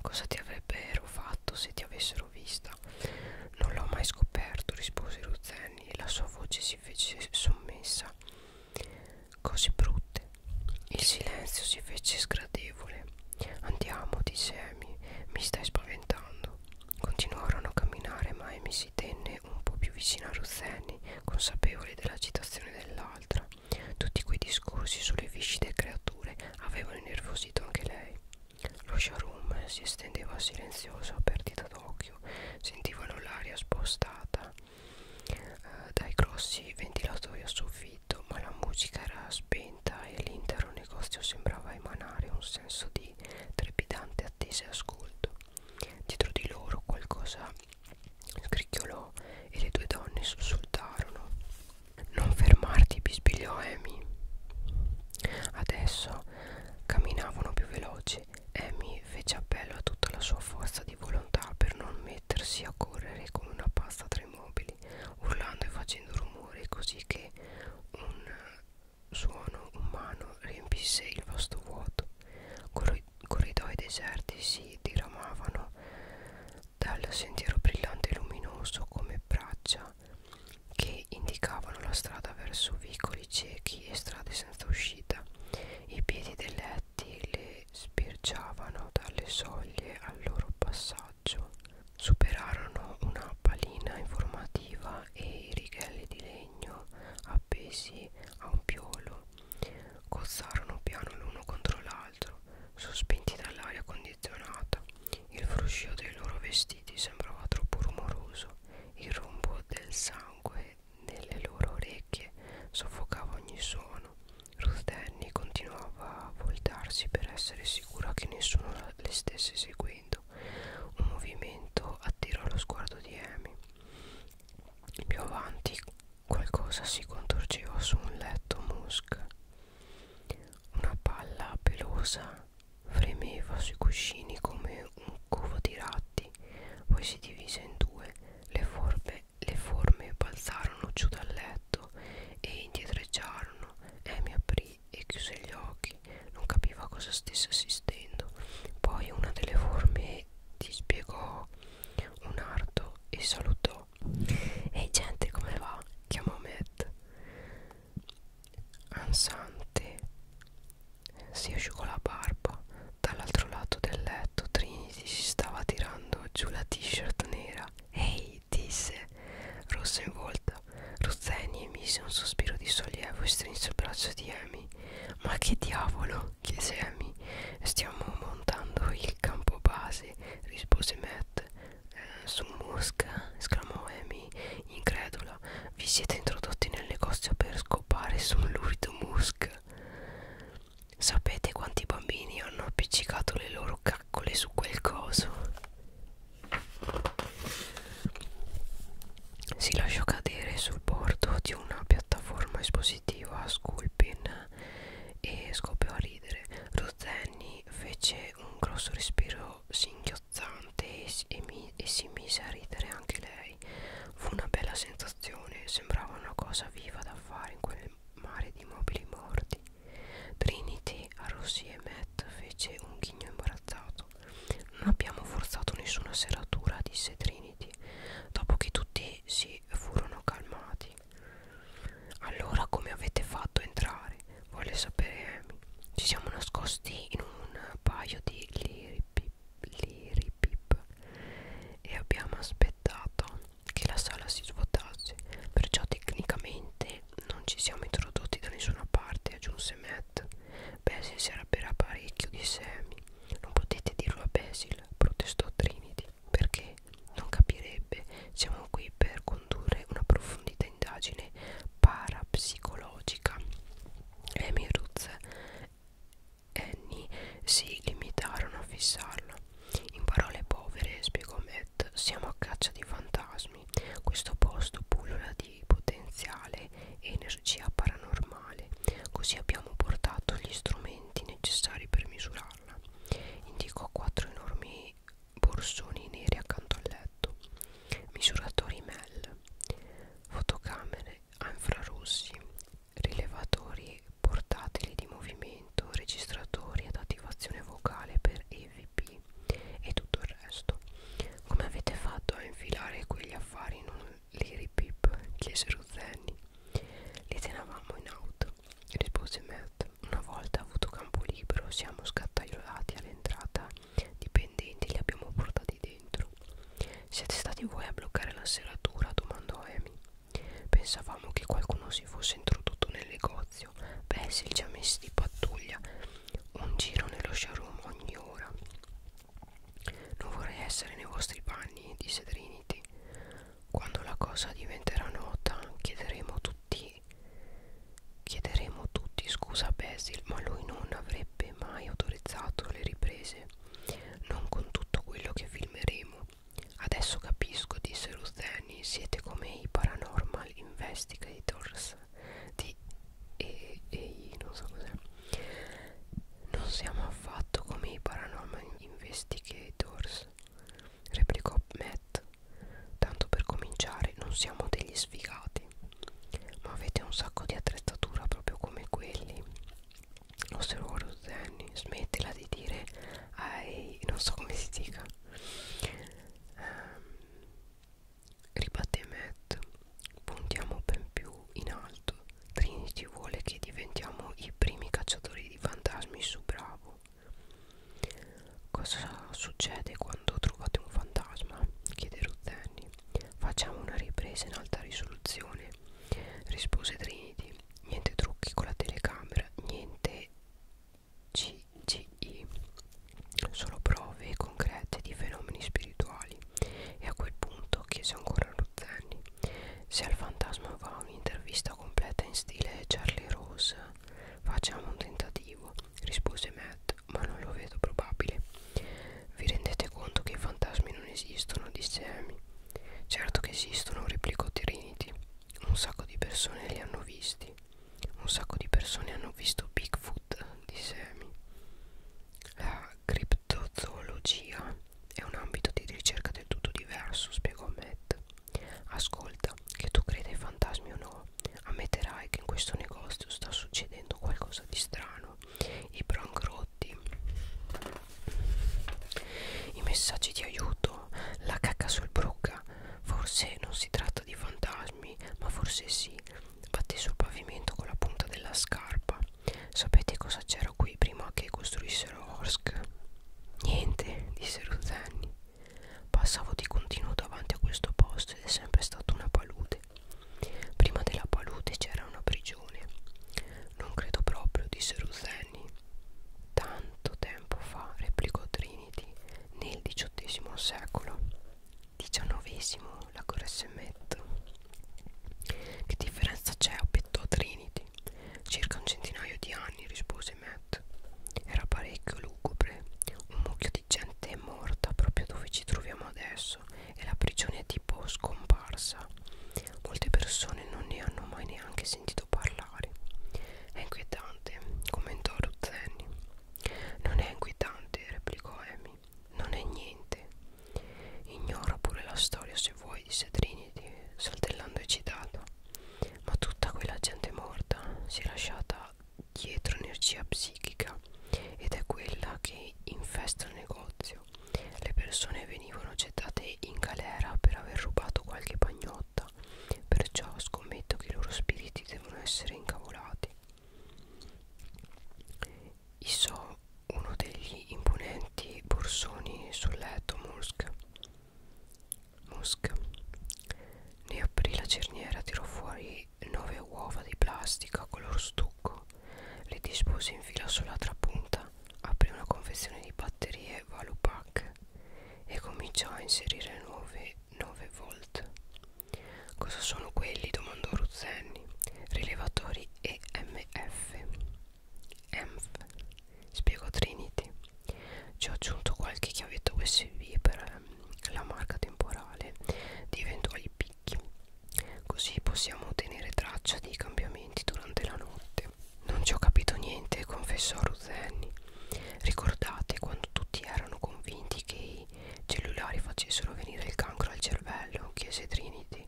A: cosa ti avrebbero fatto se ti avessero l'avessero vista non l'ho mai scoperto rispose Ruzzeni e la sua voce si fece sommessa cose brutte il silenzio si fece sgradevole andiamo disse Amy mi stai spaventando continuarono a camminare ma Amy si tenne un po' più vicino a Ruzzeni consapevoli dell'agitazione dell'altra tutti quei discorsi sulle viscide creature avevano innervosito anche lei lo showroom si estendeva silenzioso a perdita d'occhio, sentivano l'aria spostata eh, dai grossi ventilatori a soffitto, ma la musica era spenta e l'intero negozio sembrava emanare un senso di trepidante attesa e ascolto. Dietro di loro qualcosa scricchiolò e le due donne sussultarono. Non fermarti, bisbigliò Amy. Adesso camminavano più veloci. Amy fece appello a tutta la sua forza di volontà per non mettersi a correre come una pazza tra i mobili, urlando e facendo rumore così che un suono umano riempisse il vasto vuoto. Corri corridoi deserti si diramavano dal sentiero brillante e luminoso come braccia che indicavano la strada verso vicoli ciechi e strade senza uscita. I piedi delle letti le spirgiavano dalle soglie al loro passaggio. Superarono una palina informativa e i righelli di legno appesi a un piolo. Cozzarono piano l'uno contro l'altro, sospinti dall'aria condizionata. Il fruscio dei loro vestiti vestiti sembrava troppo rumoroso il rombo del sangue nelle loro orecchie soffocava ogni suono Ruth Danny continuava a voltarsi per essere sicura che nessuno le stesse seguendo un movimento attirò lo sguardo di Amy più avanti qualcosa si contorceva su un letto musk una palla pelosa Fremeva sui cuscini come un covo di ratti, poi si divise in due, le, forbe, le forme balzarono giù dal letto e indietreggiarono. Amy aprì e chiuse gli occhi, non capiva cosa stesse assistendo. Poi una delle forme dispiegò un arto e salutò. Ehi gente, come va? chiamò Matt ansante si asciugò la barba dall'altro lato del letto Trinity si stava tirando giù la t-shirt nera ehi disse rossa in volta Ruzzeni emise un sospiro di sollievo e strinse il braccio di Amy ma che diavolo chiese Amy stiamo montando il campo base rispose Matt eh, su Mosca esclamò Amy incredula casa vi siete introdotti nel negozio per scopare su un lurido musk sapete quanti bambini hanno appiccicato le loro caccole su quel coso si lasciò cadere sul bordo di una piattaforma espositiva a Sculpin e scoppiò a ridere Rozenni fece un grosso respiro singhiozzante sghiozzante e, e, mi, e si mise a ridere anche lei. Fu una bella sensazione, sembrava una cosa viva da fare in quel mare di mobili morti. Trinity, Arrosi e Matt fece un ghigno imbarazzato. Non abbiamo forzato nessuna serratura, disse Trinity, dopo che tutti si furono calmati. Allora come avete fatto entrare? Volle sapere Amy ci siamo nascosti in un paio di liripip, liripip e abbiamo aspettato che la sala si svuotasse, perciò tecnicamente non ci siamo introdotti da nessuna parte, aggiunse Matt. Basil si arrabbierà parecchio, disse Amy. Non potete dirlo a Basil, protestò Trinity, perché non capirebbe. Siamo qui per condurre una profondità indagine parapsicologica. Amy Roots e Annie si limitarono a fissarlo. In parole povere, spiegò Matt, siamo a caccia di fantasmi. Questo posto pullula di potenziale e energia paranormale, così abbiamo portato gli strumenti necessari per misurarla. Indicò quattro enormi borsoni neri accanto al letto. Misuratori MEL fotocamere a infrarossi, rilevatori portatili di movimento, registratori ad attivazione vocale per EVP e tutto il resto. Come avete fatto a infilare quegli affari in un liripip? chiese Ruzzenni. Li tenevamo in auto, rispose Matt. Una volta avuto campo libero siamo scattaiolati all'entrata dipendenti li abbiamo portati dentro. Siete stati voi a bloccare la serratura? domandò Amy. Pensavamo che qualcuno si fosse introdotto nel negozio. Basil ci ha messi di pattuglia un giro nello showroom ogni ora. Non vorrei essere nei vostri panni, disse Trinity. Quando la cosa diventerà nota, chiederemo tutti chiederemo tutti scusa a Basil, ma lui non avrebbe avrebbe mai autorizzato le riprese non con tutto quello che filmeremo adesso capisco disse Rutheni siete come i paranormal investigators di e, e non so cos'è non siamo affatto come i paranormal investigators replicò Matt tanto per cominciare non siamo degli sfigati ma avete un sacco di attrezzatura proprio come quelli osservò Rosenni smettila di dire ai non so come si dica ehm, ribatté Matt puntiamo ben più in alto Trinity vuole che diventiamo i primi cacciatori di fantasmi su Bravo cosa succede quando trovate un fantasma? chiede Ruzzeni Facciamo una ripresa in alta risoluzione, rispose Trinity. Niente trucchi con la telecamera, niente CGI, solo prove concrete di fenomeni spirituali. E a quel punto chiese ancora a Ruzzani se al fantasma va un'intervista completa in stile Charlie Rose. Facciamo un tentativo, rispose Matt Cat, ma non lo vedo probabile. Vi rendete conto che i fantasmi non esistono? disse Amy. Certo che esistono, replicò Trinity. Un sacco di persone li hanno visti. Un sacco di persone hanno visto Bigfoot, disse Amy. La criptozoologia è un ambito di ricerca del tutto diverso, spiegò Matt. Ascolta, che tu creda ai fantasmi o no, ammetterai che in questo negozio sta succedendo qualcosa di strano i brangrotti i messaggi di aiuto la cacca sul brocca forse non si tratta di fantasmi ma forse sì batte sul pavimento con la punta della scarpa sapete cosa c'era qui prima che costruissero Orsk? niente disse Ruzzani passavo di continuo davanti a questo posto ed è sempre stata una palude Prima della palude c'era una prigione. Non credo proprio, disse Ruzzeni. Tanto tempo fa, replicò Trinity, nel XVIII secolo. XIX, la corresse Matt. Che differenza c'è? obiettò Trinity. Circa un centinaio di anni, rispose Matt. Era parecchio lugubre, un mucchio di gente morta proprio dove ci troviamo adesso basso e la prigione è tipo scomparsa. Molte persone non ne hanno mai neanche sentito parlare. È inquietante, commentò Ruzzeni. Non è inquietante, replicò Amy. Non è niente. Ignora pure la storia se vuoi, disse Trinity, saltellando eccitato. Ma tutta quella gente morta si è lasciata dietro energia psichica ed è quella che infesta il negozio. Le persone venivano gettate in galera per aver rubato qualche pagnotta, perciò scommetto che i loro spiriti devono essere incavolati. Isò, uno degli imponenti borsoni sul letto Musk. Musk ne aprì la cerniera, tirò fuori nove uova di plastica color stucco le dispose in fila sull'altra punta aprì una confezione di batterie Valupack e cominciò a inserire 9, 9 volt cosa sono quelli? domandò Ruzzenni rilevatori EMF EMF spiegò Trinity ci ho aggiunto qualche chiavetta USB per ehm, la marca temporale di eventuali picchi Così possiamo tenere traccia dei cambiamenti durante la notte. Non ci ho capito niente, confessò Ruth Annie. Ricordate quando tutti erano convinti che i cellulari facessero venire il cancro al cervello? chiese Trinity.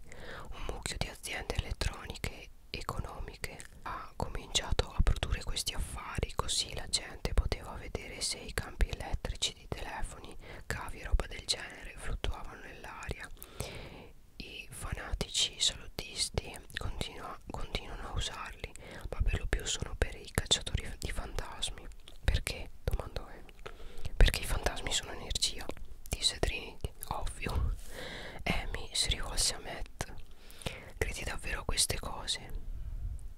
A: Un mucchio di aziende elettroniche economiche ha cominciato a produrre questi affari, così la gente poteva vedere se i campi elettrici voci di telefoni, cavi e roba del genere fluttuavano nell'aria. I fanatici salutisti continuano a usarli, ma per lo più sono per i cacciatori di fantasmi. Perché? domandò Amy. Perché i fantasmi sono energia, disse Trinity. Ovvio. Amy si rivolse a Matt. Credi davvero a queste cose?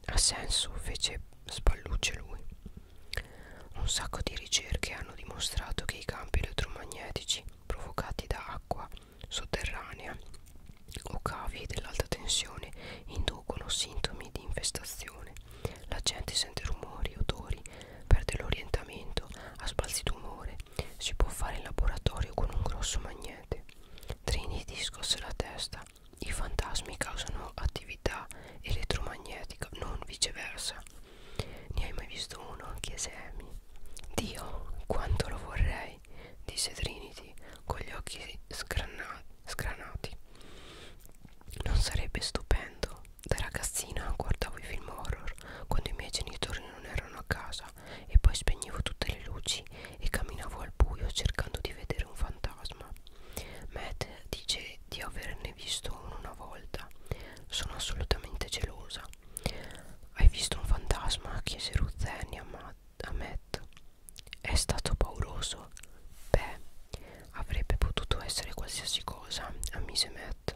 A: Ha senso, fece spallucce lui un sacco di ricerche hanno dimostrato che i campi elettromagnetici provocati da acqua sotterranea o cavi dell'alta tensione inducono sintomi di infestazione la gente sente rumori, odori, perde l'orientamento, ha sbalzi d'umore si può fare in laboratorio con un grosso magnete trini di scosse la testa i fantasmi causano attività attività elettromagnetica, non viceversa. Ne hai mai visto uno? chiese Amy. Dio, quanto lo vorrei, disse Trinity con gli occhi scrana scranati. Non sarebbe stupendo. Da ragazzina guardavo i film horror quando i miei genitori non erano a casa e poi spegnevo tutte le luci e camminavo al buio cercando di vedere un fantasma. Matt dice di averne visto uno una volta. Sono assolutamente gelosa. Hai visto un fantasma? chiese Ruth Annie a Matt. È stato pauroso. Beh, avrebbe potuto essere qualsiasi cosa, ammise Matt.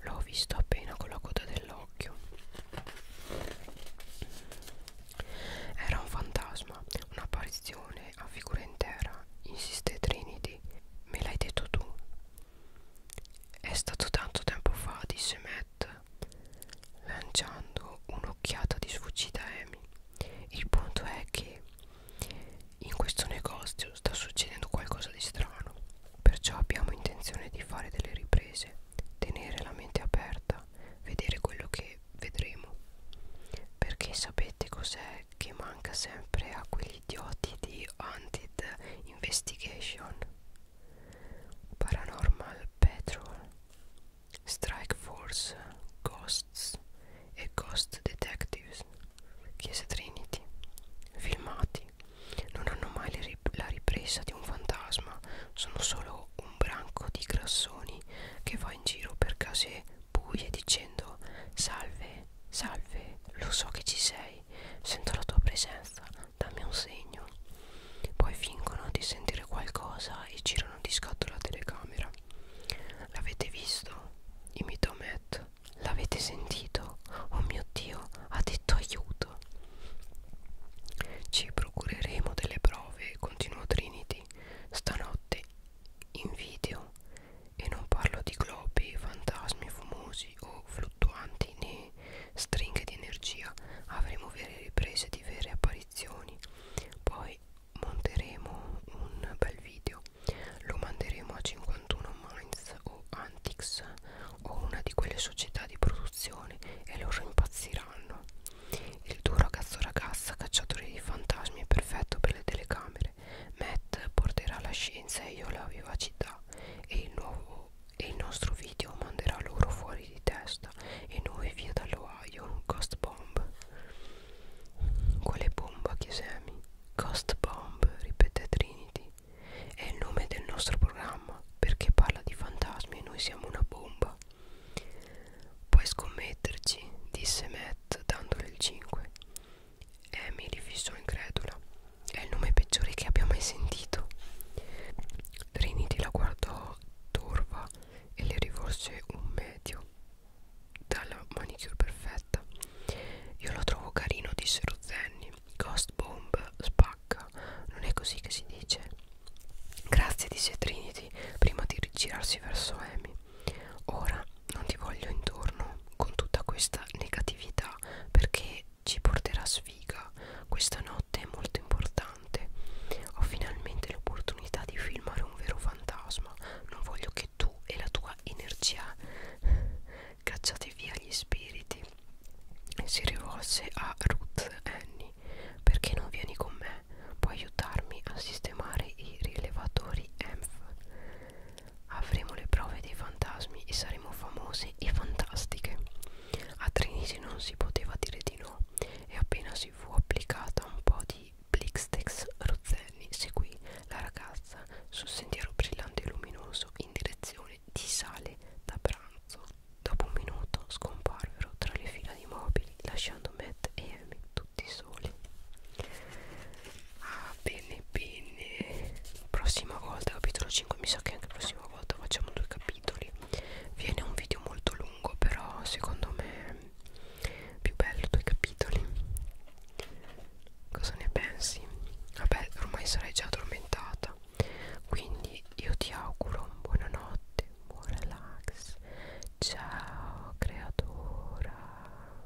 A: L'ho visto appena con la coda dell'occhio. Era un fantasma, un'apparizione a figura intera, allora, insiste Trinity, me l'hai detto tu. È stato tanto tempo fa, disse Matt, lanciando un'occhiata di sfuggita a Amy. Il punto è che in questo negozio sta succedendo qualcosa di strano, perciò abbiamo intenzione di fare delle riprese, tenere la mente aperta, vedere quello che vedremo. Perché sapete cos'è che manca sempre a quegli idioti di Haunted Investigation Paranormal Patrol Strike Force Ghosts e Ghost Detectives Chiesa Trinity Filmati Non hanno mai rip la ripresa di un fantasma Sono solo un branco di grassoni che va in giro per case buie dicendo Salve Salve, lo so che ci sei, sento la tua presenza, dammi un segno. Poi fingono di sentire qualcosa e girano di scatto la telecamera. L'avete visto? Imitò Matt. L'avete sentito? Oh mio Dio, ha detto aiuto. Ci procureremo delle prove, continuò Trinity, stanotte in video e non parlo di globi, fantasmi fumosi o fluttuanti né stringhe di energia, avremo vere riprese di vere apparizioni. Poi monteremo un bel video, lo manderemo a 51 Minds o Antics o una di quelle società di produzione e loro impazziranno. Il tuo ragazzo ragazza cacciatore di fantasmi è perfetto per le telecamere essere. Matt porterà la scienza e io la vivacità e il, nuovo, e il nostro video manderà loro fuori di testa e noi via dall'Ohio. Ghost bomb. Quale bomba chiese Amy? Ghost bomb, ripete Trinity. È il nome del nostro programma perché parla di fantasmi e noi siamo una bomba. Puoi scommetterci, disse Matt dandole il 5. Emily fissò incredula. È il nome peggiore che abbia mai sentito. Trinity la guardò torva e le rivolse un medio dalla manicure perfetta. Io lo trovo carino, disse Rozenni. Ghost bomb spacca. Non è così che si dice. Grazie, disse Trinity prima di girarsi verso Amy. Ora non ti voglio intorno con tutta questa negatività perché ci porterà sfiga. Questa notte è molto importante. Ho finalmente l'opportunità di filmare un vero fantasma. Non voglio che tu e la tua energia cacciate via gli spiriti. Si rivolse a Ruth Annie. Perché non vieni con me? Puoi aiutarmi a sistemare i rilevatori EMF? Avremo le prove dei fantasmi e saremo famose e fantastiche. A Trinity non si poteva dire di no e appena si fu applicata un po' di Blixtex Rozzelli seguì la ragazza sul sentiero brillante e luminoso in direzione di sale da pranzo. Dopo un minuto scomparvero tra le fila di mobili lasciando Matt e Amy tutti soli ah bene bene prossima volta capitolo 5 mi sa che anche prossima volta facciamo due capitoli viene un video molto lungo però secondo me è più bello due capitoli cosa ne pensi vabbè ormai sarai già addormentata quindi io ti auguro buonanotte buon relax ciao creatura